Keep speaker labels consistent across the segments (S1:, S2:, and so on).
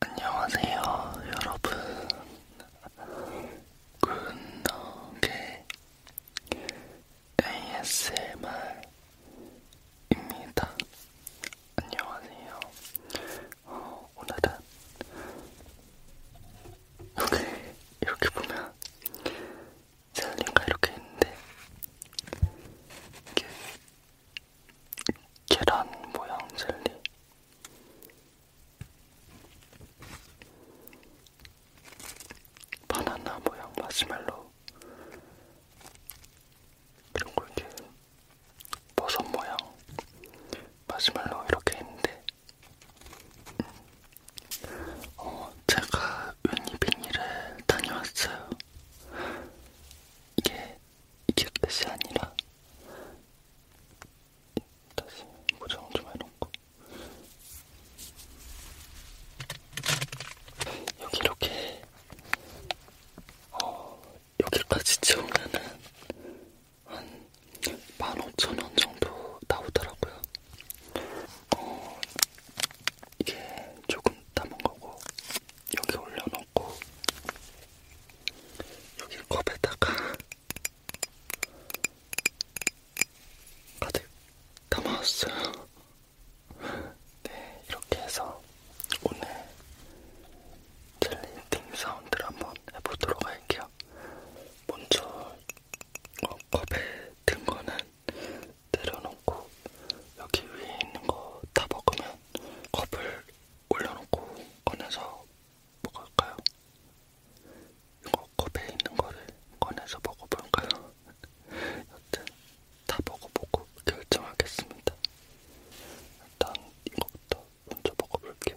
S1: 안녕하세요, 여러분. 굿노게 ASMR입니다. 안녕하세요. 어, 오늘은 여기 이렇게 보면 젤리가 이렇게 있는데 이게 계란 모양 젤리 바나나 모양 마시멜로 그리고 이렇게 버섯 모양 마시멜로 이렇게 있는데 어, 제가 웬이 비닐에 다녀왔어요. 이게 이게 끝이 아니라 다시 고정 좀 해놓고 여기 이렇게 어, 여기까지 채우면은 한 15,000원 정도 나오더라고요. 어, 이게 조금 담은 거고 여기 올려놓고 여기 컵에다가 가득 담아왔어요. 네, 이렇게 해서 오늘 젤리팅 사운드를 한번 해보도록 할게요. 먼저 어, 컵에 든 거는 내려놓고 여기 위에 있는 거 다 먹으면 컵을 올려놓고 꺼내서 먹을까요? 이거 컵에 있는 거를 꺼내서 먹어볼까요? 여튼 다 먹어보고 결정하겠습니다. 일단 이것부터 먼저 먹어볼게요.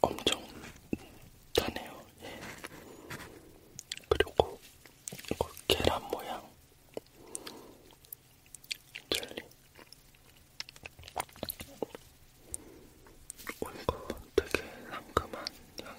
S1: 엄청 다네요. 예. 그리고 이거 계란 모양 젤리. 오, 이거 되게 상큼한 향이.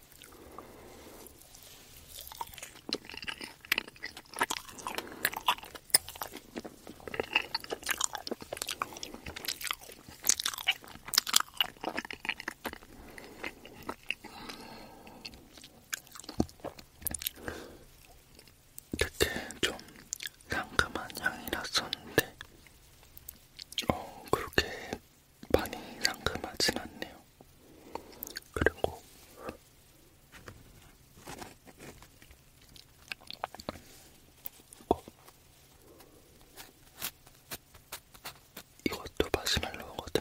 S1: 되게 좀 상큼한 향이 났었는데, 어, 그렇게 많이 상큼하진 않네요. 그리고 어. 이것도 마시멜로우거든요.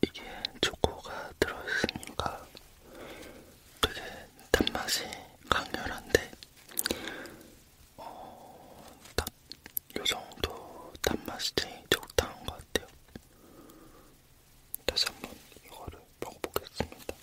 S1: 이게 초코가 들어있으니까 되게 단맛이 강렬한데 어, 딱 요정도 단맛이 제일 적당한 것 같아요. 다시 한번 이거를 먹어보겠습니다.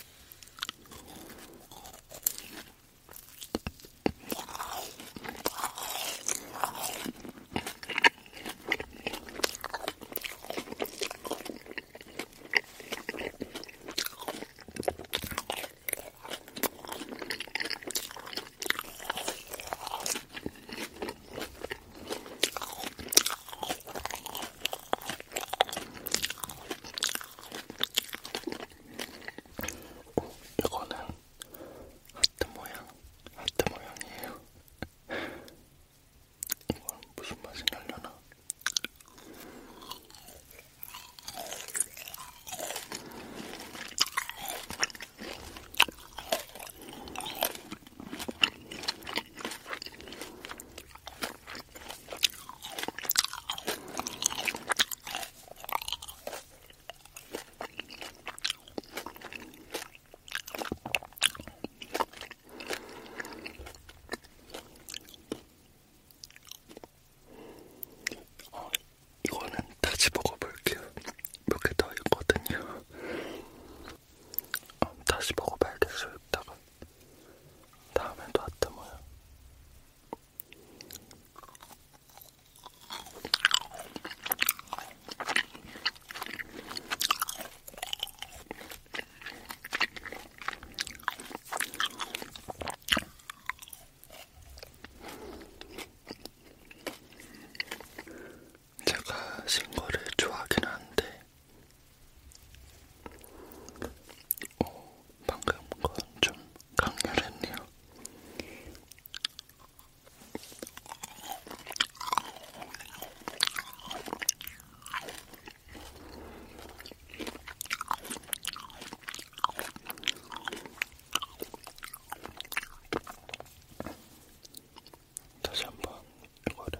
S1: 이거는 하트 모양, 하트 모양이에요. 이건 무슨 맛이 날려나? 어, 이거는 다시 먹어볼게요. 몇개 더 있거든요. 어, 다시 먹어봐야겠어요. 이따가 다음에 또 왔다 모요. 제가 신거를 좋아하긴 한데 오, 어, 방금 건좀 강렬했네요. 다시 한번 이거를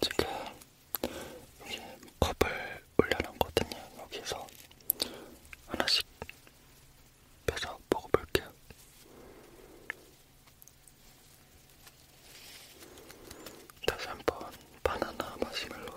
S1: 지금 이게 컵을 올려놓거든요. 여기서 하나씩 빼서 먹어볼게요. 다시 한번 바나나 마시멜로를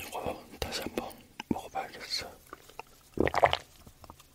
S1: 이거 다시 한번 먹어봐야겠어.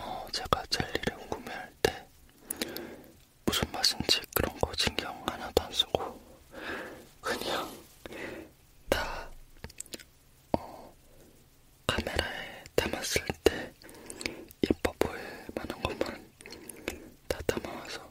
S1: 어, 제가 젤리를 구매할 때 무슨 맛인지 그런 거 신경 하나도 안 쓰고 그냥 다 어, 카메라에 담았을 때 예뻐 보일 만한 것만 다 담아와서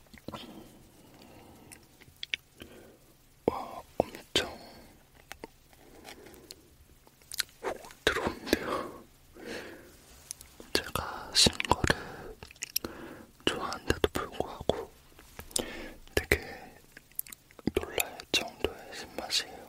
S1: 와, 엄청 훅 들어온대요. 제가 신 거를 좋아하는데도 불구하고 되게 놀랄 정도의 신맛이에요.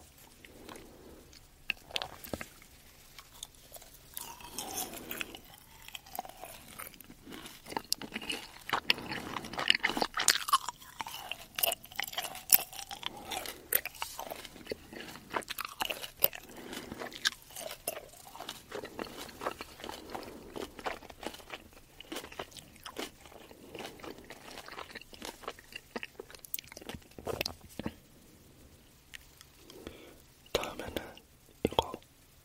S1: 다음에는 이거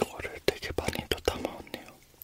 S1: 이거를 되게 많이 또 담아왔네요.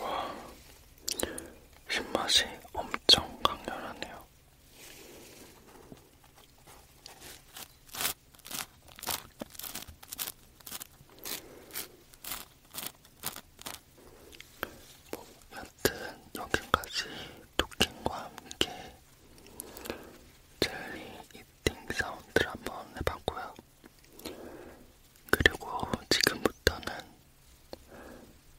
S1: 와, 신맛이 엄청 강렬하네요. 뭐 여튼 여기까지 토킹과 함께 젤리 이팅 사운드를 한번 해봤고요. 그리고 지금부터는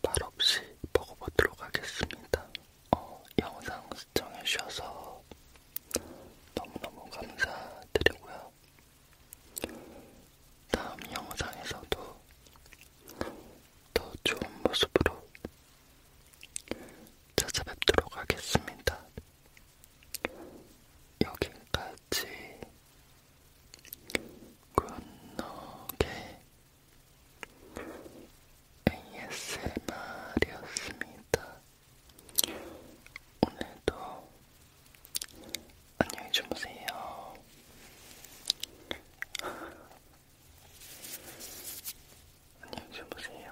S1: 말없이 먹어보도록 하겠습니다. 어, 영상 시청해주셔서 너무너무 감사드리고요. 다음 영상에서도 더 좋은 모습으로 찾아뵙도록 하겠습니다. 여기까지 굿노게 ASMR이었습니다. 오늘도 안녕히 주무세요. 안녕히 주무세요.